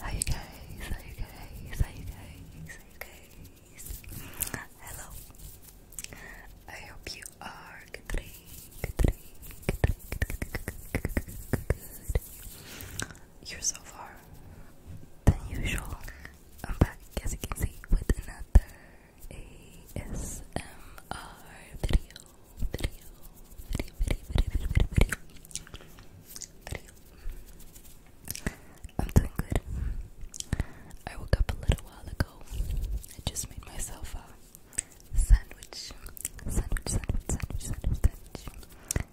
How you guys? How you guys? How you guys? How you guys? Hello. I hope you are good Good good, good, good, good, good, good you're so far than usual. I'm back, as you can see, with another ASMR video. Video, video, video, video, video, video, video. I'm doing good. I woke up a little while ago. I just made myself a sandwich, sandwich, sandwich, sandwich, sandwich, sandwich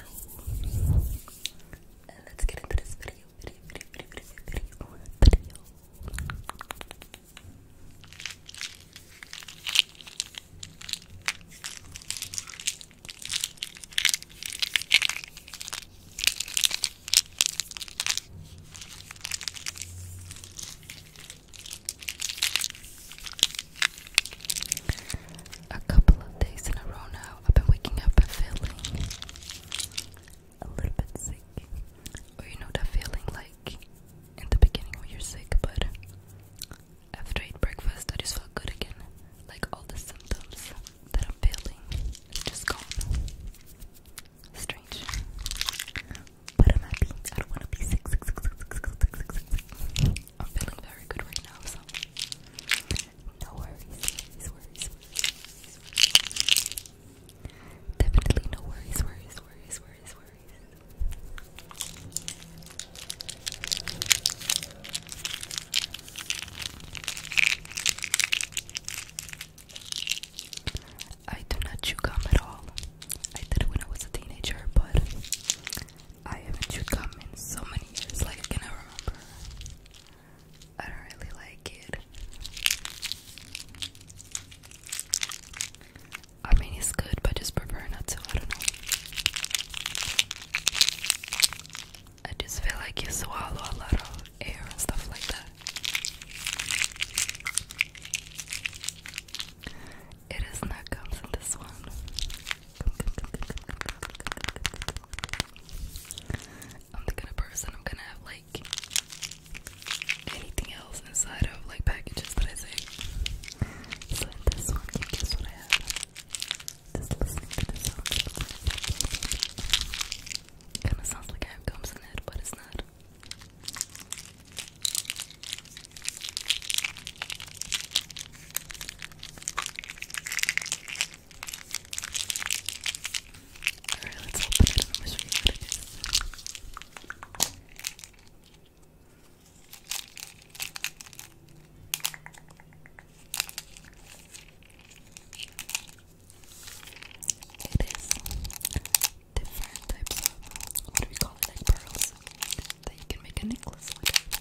so, uh, let's get into this video. A couple of days in a row now, I've been waking up feeling a little bit sick. Or you know that feeling like in the beginning when you're sick, but after eat breakfast, I just feel good again. Like all the symptoms that I'm feeling just gone. Strange. But I'm happy. I don't want to be sick. I'm feeling very good right now, so no worries, worries, worries, Definitely no worries, worries, worries, worries, worries. I do not chew gum at all. I did it when I was a teenager, but I haven't chewed gum in so many years, like I cannot remember. I don't really like it. I mean, it's good, but just prefer not to. I don't know. I just feel like you swallow a lot of air and stuff like that. It is not comes in this one. I'm the kind person i gonna have like anything else inside of like packages that I take. So this one, guess what I have? Just listening to this song. Kinda sounds like I have gums in it, but not. Alright, let's open it and show you what it is. It is different types of what do we call it, like pearls that you can make a necklace with.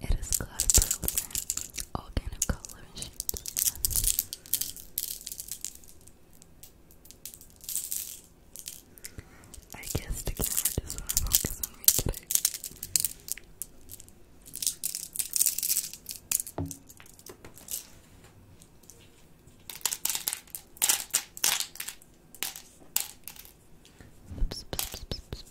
It is got pearls and all kind of color and shit. I guess the camera just wanna focus on me today. I dropped a little bit.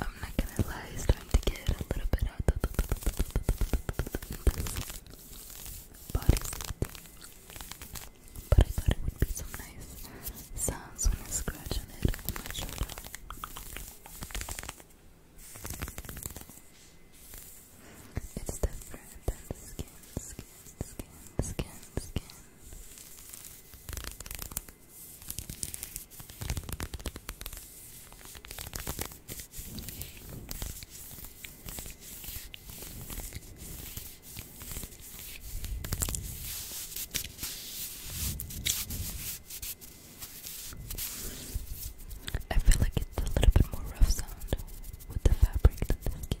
I'm not gonna lie, it's starting to get a little bit out But I thought it would be some nice sounds when I scratch on it on my shoulder. It's different the skin, skin, skin, skin, skin. I feel like it's a little bit more rough sound with the fabric than the skin.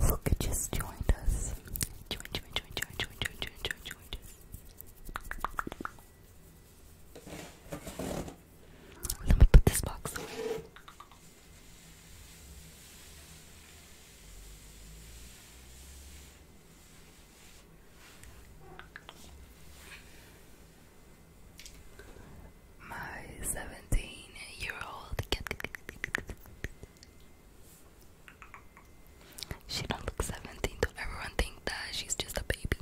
Look, it just joined us. Join, join, join, join, join, join, join, join, join, join. Let me put this box my 17-year-old She don't look 17. do everyone think that she's just a baby.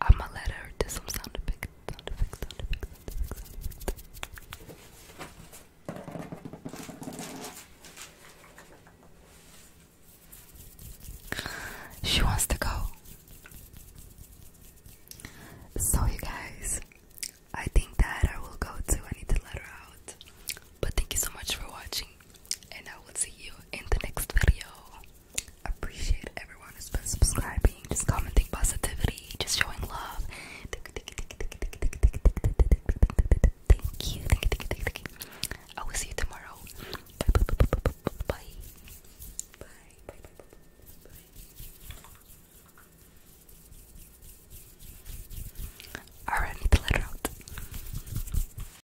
I'ma let her do some sound effect, sound effect, sound effect, She wants to go. So, you guys, I think that I will go too. I need to let her out. But thank you so much for watching and I will see you in the next video. Appreciate everyone who's been subscribing, just commenting positivity, just showing love. Thank you. Thank you. Thank you. Thank you. I will see you tomorrow. Bye. Bye. Bye. Bye. Bye. Bye. Bye. Bye. Alright, I need to let her out.